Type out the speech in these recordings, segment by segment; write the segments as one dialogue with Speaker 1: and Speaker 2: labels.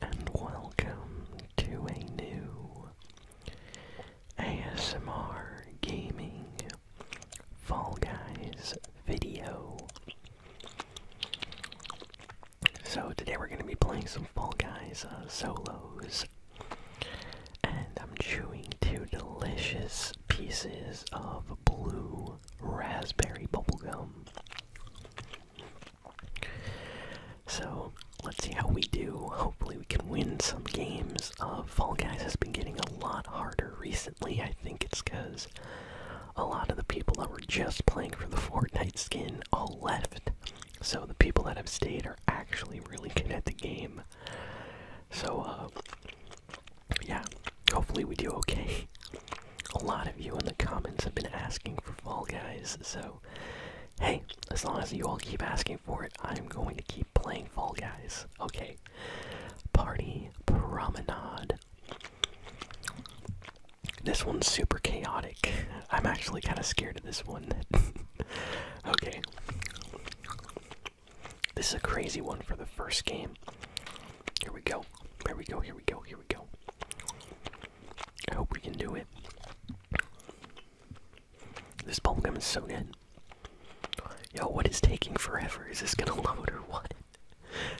Speaker 1: and welcome to a new ASMR Gaming Fall Guys video. So, today we're going to be playing some Fall Guys uh, solos, and I'm chewing two delicious pieces of blue raspberry bubblegum. So let's see how we do. Hopefully, we can win some games. Uh, Fall Guys has been getting a lot harder recently. I think it's because a lot of the people that were just playing for the Fortnite skin all left. So the people that have stayed are actually really good at the game. So, uh, yeah, hopefully we do okay. A lot of you in the comments have been asking for Fall Guys, so Hey, as long as you all keep asking for it, I'm going to keep playing Fall Guys. Okay. Party Promenade. This one's super chaotic. I'm actually kind of scared of this one. okay. This is a crazy one for the first game. Here we go. Here we go. Here we go. Here we go. I hope we can do it. This bubblegum is so good. Yo, what is taking forever? Is this gonna load or what?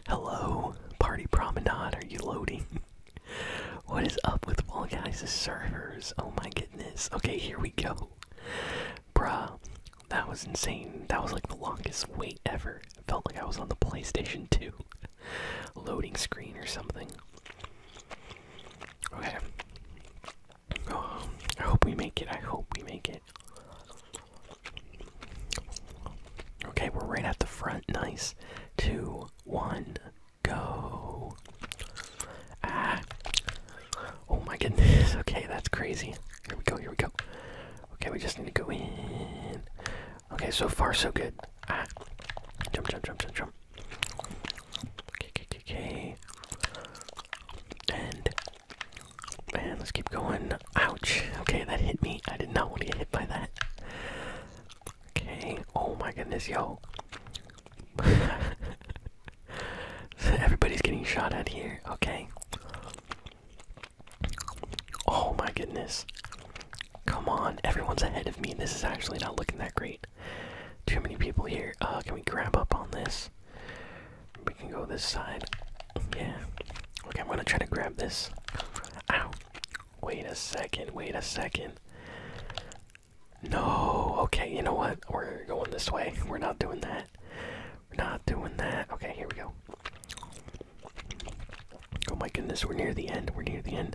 Speaker 1: Hello, Party Promenade, are you loading? what is up with all servers? Oh my goodness. Okay, here we go. Bruh, that was insane. That was like the longest wait ever. felt like I was on the PlayStation 2 loading screen or something. Okay. Oh, I hope we make it. I hope we make it. Okay, we're right at the front. Nice. Two, one, go. Ah. Oh my goodness. Okay, that's crazy. Here we go. Here we go. Okay, we just need to go in. Okay, so far so good. Ah. Jump, jump, jump, jump, jump. Okay, And man, let's keep going. Ouch. Okay, that hit me. I did not want to get hit by that. Okay. Oh my goodness, yo. Everybody's getting shot at here. Okay. Oh my goodness. Come on, everyone's ahead of me. This is actually not looking that great. Too many people here. Uh, can we grab up on this? We can go this side. Yeah. Okay, I'm gonna try to grab this. Ow. Wait a second, wait a second. No, okay, you know what? We're going this way. We're not doing that. We're not doing that. Okay, here we go. Oh my goodness, we're near the end. We're near the end.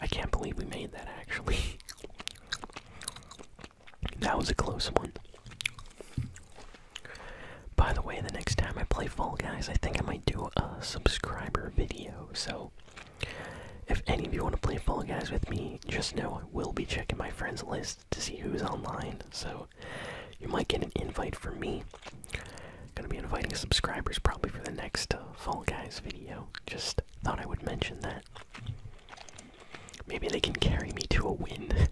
Speaker 1: I can't believe we made that actually. that was a close one. By the way, the next time I play Fall Guys, I think I might do a subscriber video. So, if any of you want to play Fall Guys with me, just know I will be checking my friends list to see who's online. So, you might get an invite from me. Gonna be inviting subscribers probably for the next uh, Fall Guys video. Just thought I would mention that. Maybe they can carry me to a win.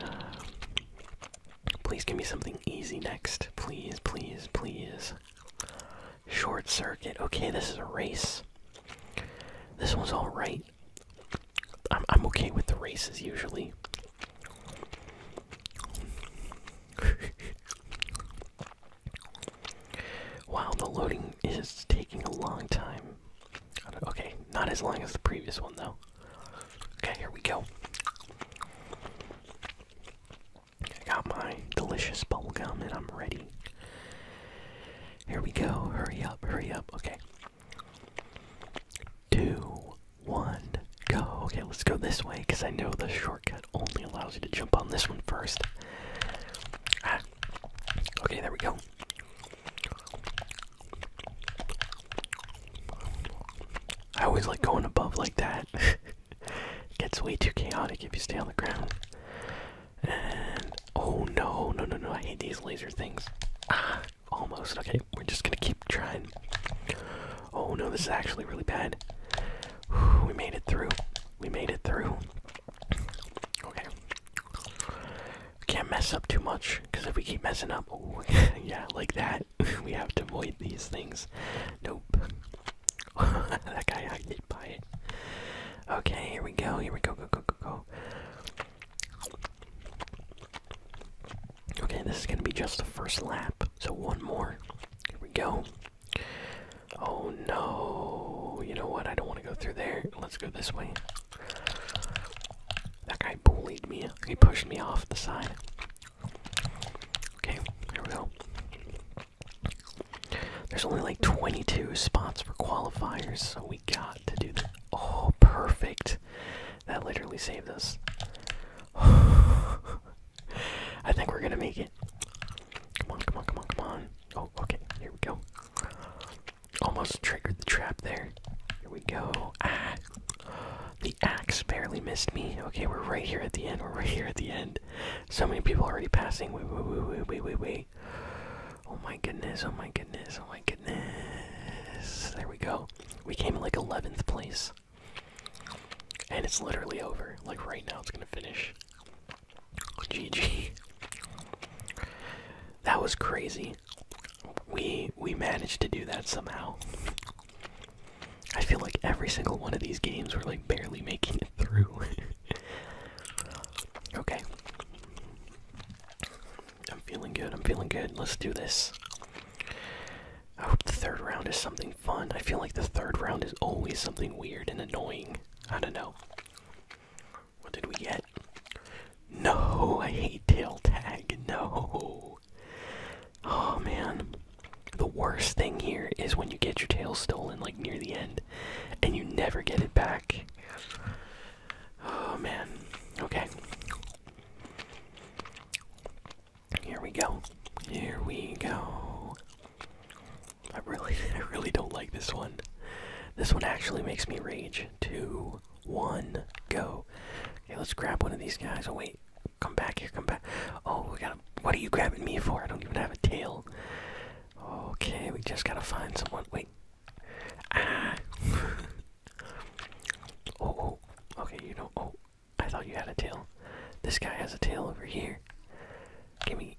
Speaker 1: please give me something easy next. Please, please, please. Short circuit. Okay, this is a race. This one's alright. I'm, I'm okay with the races usually. Wow, the loading is taking a long time. Okay, not as long as the previous one, though. Okay, here we go. I got my delicious bubble gum and I'm ready. Here we go. Hurry up, hurry up. Okay. Two, one, go. Okay, let's go this way because I know the shortcut only allows you to jump on this one first. Ah. Okay, there we go. I always like going above like that. gets way too chaotic if you stay on the ground. And oh no, no, no, no! I hate these laser things. Ah, almost. Okay, we're just gonna keep trying. Oh no, this is actually really bad. We made it through. We made it through. Okay. We can't mess up too much, because if we keep messing up, ooh, yeah, like that, we have to avoid these things. Nope. that guy I did it. Okay, here we go. Here we go. Go go go go. Okay, this is gonna be just the first lap. So one more. Here we go. Oh no. You know what? I don't want to go through there. Let's go this way. That guy bullied me. He pushed me off the side. Okay, here we go. There's only like 22 spots for qualifiers, so we got to do that. Oh, perfect. That literally saved us. I think we're gonna make it. Come on, come on, come on, come on. Oh, okay, here we go. Almost triggered the trap there. Here we go. Ah! The axe barely missed me. Okay, we're right here at the end. We're right here at the end. So many people already passing. Wait, wait, wait, wait, wait, wait, wait. Oh my goodness, oh my goodness, oh my goodness. There we go. We came in like 11th place. And it's literally over. Like right now, it's gonna finish. GG. That was crazy. We we managed to do that somehow. I feel like every single one of these games we're like barely making it through. okay. I'm feeling good. I'm feeling good. Let's do this. I hope the third round is something fun. I feel like the third round is always something weird and annoying. I don't know. What did we get? No, I hate tail tag. No. Oh man. The worst thing here is when you get your tail stolen like near the end and you never get it back. Oh man. Okay. Here we go. Here we go. I really, I really don't like this one. This one actually makes me rage. Two, one, go. Okay, let's grab one of these guys. Oh wait, come back here, come back. Oh, we got. What are you grabbing me for? I don't even have a tail. Okay, we just gotta find someone. Wait. Ah. oh, oh. Okay, you know. Oh, I thought you had a tail. This guy has a tail over here. Give me.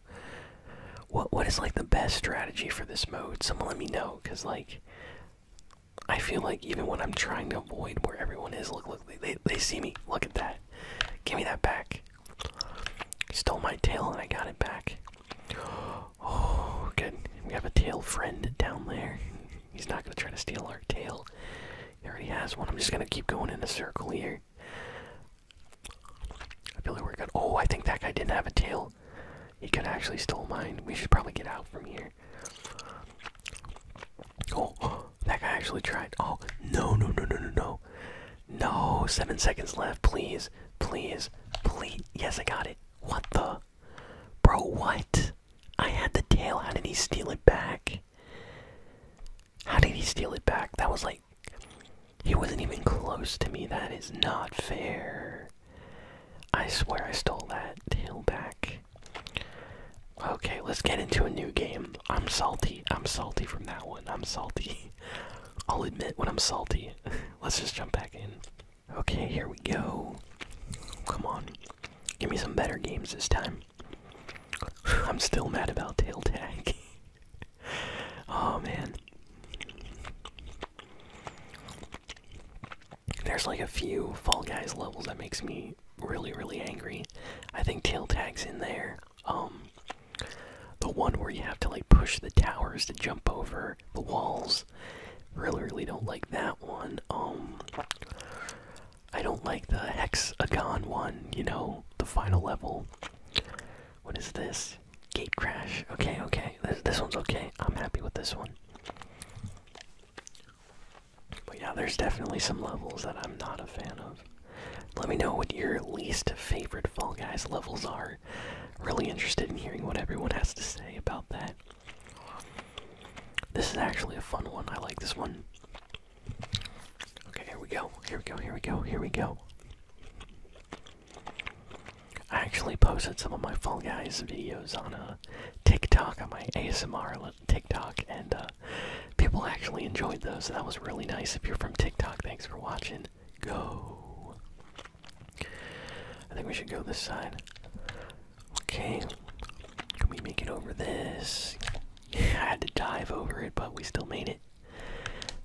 Speaker 1: what what is like the best strategy for this mode someone let me know because like i feel like even when i'm trying to avoid where everyone is look look they, they see me look at that give me that back stole my tail and i got it back oh good we have a tail friend down there he's not going to try to steal our tail he already has one i'm just going to keep going in a circle here I feel like we're good. Oh, I think that guy didn't have a tail. He could actually steal mine. We should probably get out from here. Oh, oh, that guy actually tried. Oh, no, no, no, no, no, no. No, seven seconds left. Please, please, please. Yes, I got it. What the? Bro, what? I had the tail. How did he steal it back? How did he steal it back? That was like. He wasn't even close to me. That is not fair. I swear I stole that tail back. Okay, let's get into a new game. I'm salty. I'm salty from that one. I'm salty. I'll admit when I'm salty. let's just jump back in. Okay, here we go. Come on. Give me some better games this time. I'm still mad about tail tag. oh man. There's like a few Fall Guys levels that makes me really, really angry. I think Tail Tag's in there. Um, the one where you have to like push the towers to jump over the walls. Really, really don't like that one. Um, I don't like the Hexagon one. You know, the final level. What is this? Gate crash. Okay, okay. This this one's okay. I'm happy with this one. But yeah, there's definitely some levels that I'm not a fan of. Let me know what your least favorite Fall Guys levels are. Really interested in hearing what everyone has to say about that. This is actually a fun one. I like this one. Okay, here we go. Here we go. Here we go. Here we go. I actually posted some of my Fall Guys videos on a uh, TikTok on my ASMR TikTok, and uh, people actually enjoyed those. So that was really nice. If you're from TikTok, thanks for watching. Go. I think we should go this side. Okay. Can we make it over this? I had to dive over it, but we still made it.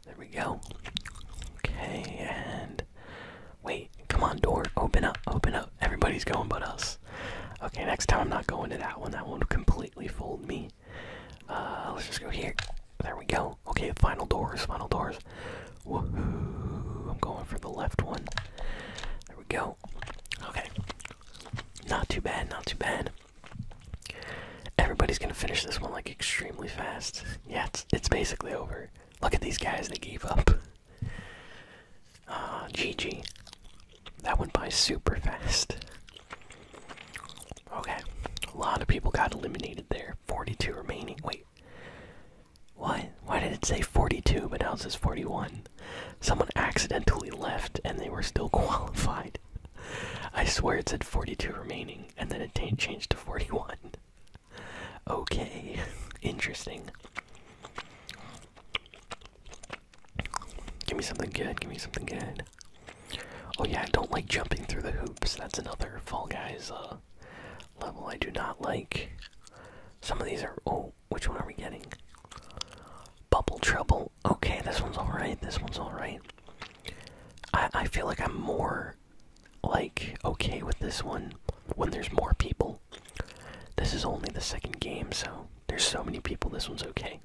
Speaker 1: There we go. Okay, and Wait, come on, door. Open up, open up. Everybody's going but us. Okay, next time I'm not going to that one. That one completely fold me. Uh, let's just go here. There we go. Okay, final doors, final doors. Woohoo! I'm going for the left one. There we go. Okay. Not too bad, not too bad. Everybody's gonna finish this one like extremely fast. Yeah, it's, it's basically over. Look at these guys, they gave up. Ah, uh, GG. That went by super fast. Okay, a lot of people got eliminated there. 42 remaining. Wait, what? Why did it say 42 but now it says 41? Someone accidentally left and they were still qualified. I swear it said 42 remaining and then it changed to 41. Okay, interesting. Give me something good, give me something good. Oh yeah, I don't like jumping through the hoops. That's another Fall Guys uh, level I do not like. Some of these are... Oh, which one are we getting? Bubble Trouble. Okay, this one's alright, this one's alright. I, I feel like I'm more like okay with this one when there's more people. This is only the second game, so there's so many people, this one's okay.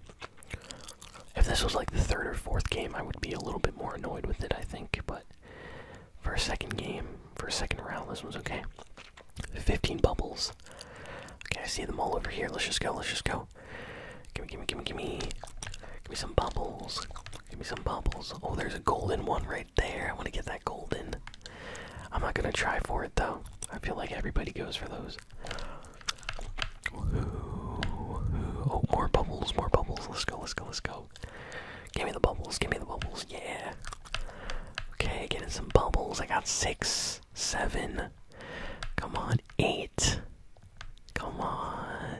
Speaker 1: If this was like the third or fourth game, I would be a little bit more annoyed with it, I think, but for a second game, for a second round, this one's okay. 15 bubbles. Okay, I see them all over here. Let's just go, let's just go. Gimme, gimme, gimme, gimme. Gimme some bubbles. Give me some bubbles. Oh, there's a golden one right there. I want to get that golden. I'm not gonna try for it though. I feel like everybody goes for those. oh, more bubbles, more bubbles. Let's go, let's go, let's go. Give me the bubbles, give me the bubbles. Yeah. Okay, getting some bubbles. I got six, seven. Come on, eight. Come on.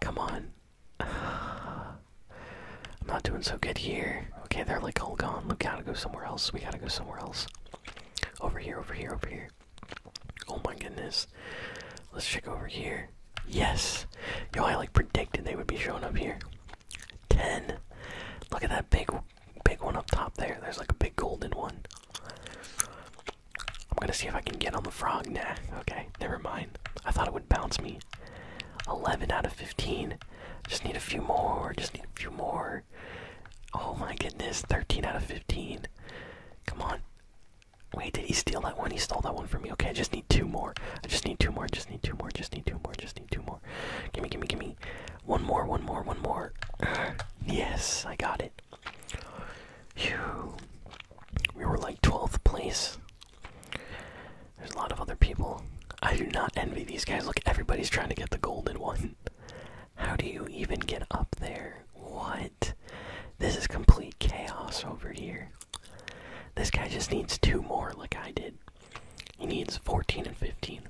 Speaker 1: Come on. I'm not doing so good here. Okay, they're like all gone. We gotta go somewhere else. We gotta go somewhere else. Over here, over here, over here. Oh my goodness. Let's check over here. Yes! Yo, I like predicted they would be showing up here. 10. Look at that big big one up top there. There's like a big golden one. I'm gonna see if I can get on the frog. Nah, okay, never mind. I thought it would bounce me already 11 out of 15. Just need a few more. Just need a few more. Oh my goodness, 13 out of 15. Come on. Wait, did he steal that one? He stole that one from me. Okay, I just need two more. I just need two more. Just need two more. Just need two more. Just need two more. Gimme, gimme, gimme. One more, one more, one more. yes, I got it. Phew. We were like 12th place. There's a lot of other people. I do not envy these guys. Look, everybody's trying to get the golden one. How do you even get up there? What? This is complete chaos over here. This guy just needs two more, like I did. He needs 14 and 15.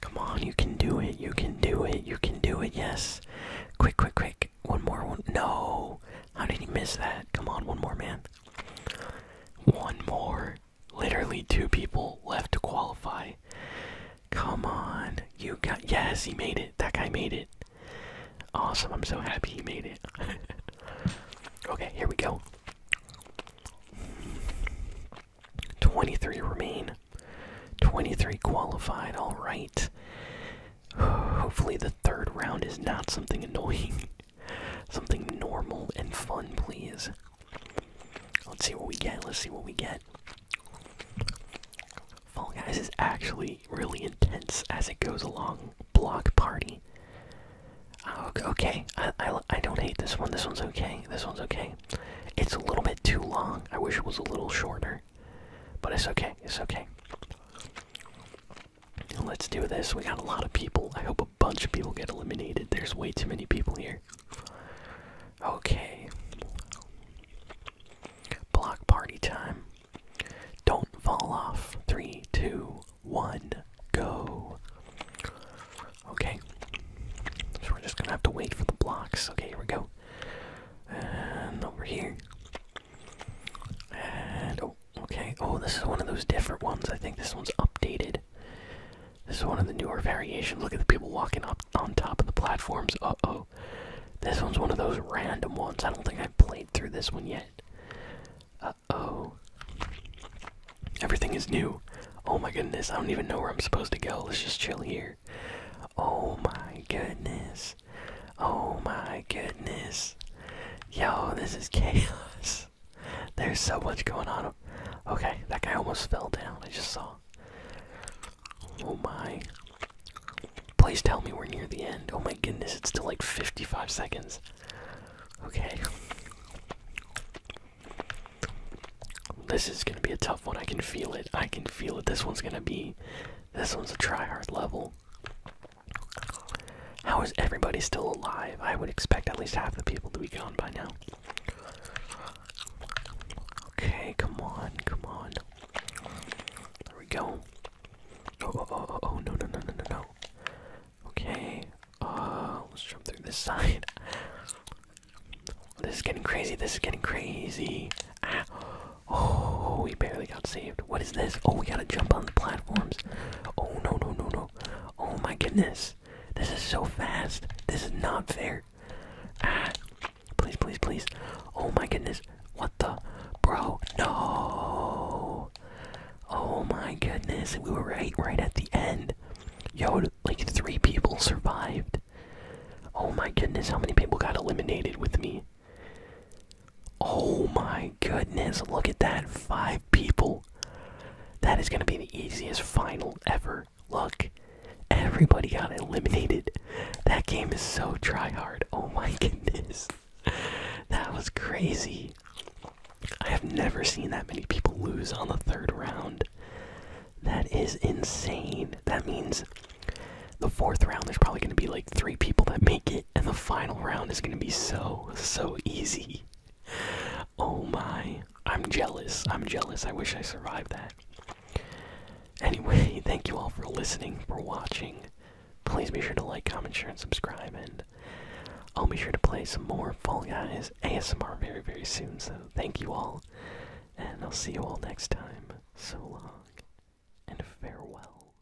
Speaker 1: Come on, you can do it. You can do it. You can do it. Yes. Quick, quick, quick. One more. One. No. How did he miss that? Come on, one more, man. One more. Literally two people left to qualify. Come on. You got. Yes, he made it. That guy made it. Awesome. I'm so happy he made it. okay, here we go. 23 remain. 23 qualified. Alright. Hopefully, the third round is not something annoying. Something normal and fun, please. Let's see what we get. Let's see what we get. Fall Guys is actually really intense as it goes along. Block Party. Oh, okay, I, I don't hate this one. This one's okay. This one's okay. It's a little bit too long. I wish it was a little shorter. But it's okay. It's okay. Let's do this. We got a lot of people. I hope a bunch of people get eliminated. There's way too many people here. Okay. Block party time. Don't fall off. Three, two, one, go. Okay. we're just gonna have to wait for the blocks. Okay, here we go. And over here. And oh, Okay, oh, this is one of those different ones. I think this one's updated. This is one of the newer variations. Look at the people walking up on top of the platforms. Uh oh. This one's one of those random ones. I don't think i played through this one yet. Uh oh. Everything is new. Oh my goodness, I don't even know where I'm supposed to go. Let's just chill here. Oh my goodness. Oh my goodness. Yo, this is chaos. There's so much going on. Okay, that guy almost fell down. I just saw. Oh my. Please tell me we're near the end. Oh my goodness, it's still like 55 seconds. Okay. This is gonna be a tough one. I can feel it. I can feel it. This one's gonna be. This one's a try hard level. How is everybody still alive? I would expect at least half the people to be gone by now. Okay, come on, come on. There we go. Oh, oh, oh, oh, oh, no, no, no, no, no, no. Okay, uh, let's jump through this side. This is getting crazy, this is getting crazy. Ah. Oh, we barely saved. What is this? Oh, we gotta jump on the platforms. Oh, no, no, no, no. Oh my goodness. This is so fast. This is not fair. Ah, please, please, please. Oh my goodness. What the? Bro, no. Oh my goodness. We were right, right at the end. Yo, like three people survived. Oh my goodness, how many people got eliminated with me? Oh my goodness, look at that. Five people. That is going to be the easiest final ever. Look, everybody got eliminated. That game is so try hard. Oh my goodness. That was crazy. I have never seen that many people lose on the third round. That is insane. That means the fourth round, there's probably going to be like three people that make it and the final round is gonna be so, so easy. Oh my. I'm jealous. I'm jealous. I wish I survived that. Anyway, thank you all for listening, for watching. Please be sure to like, comment, share, and subscribe, and I'll be sure to play some more Fall Guys ASMR very, very soon. So thank you all, and I'll see you all next time. So long, and farewell.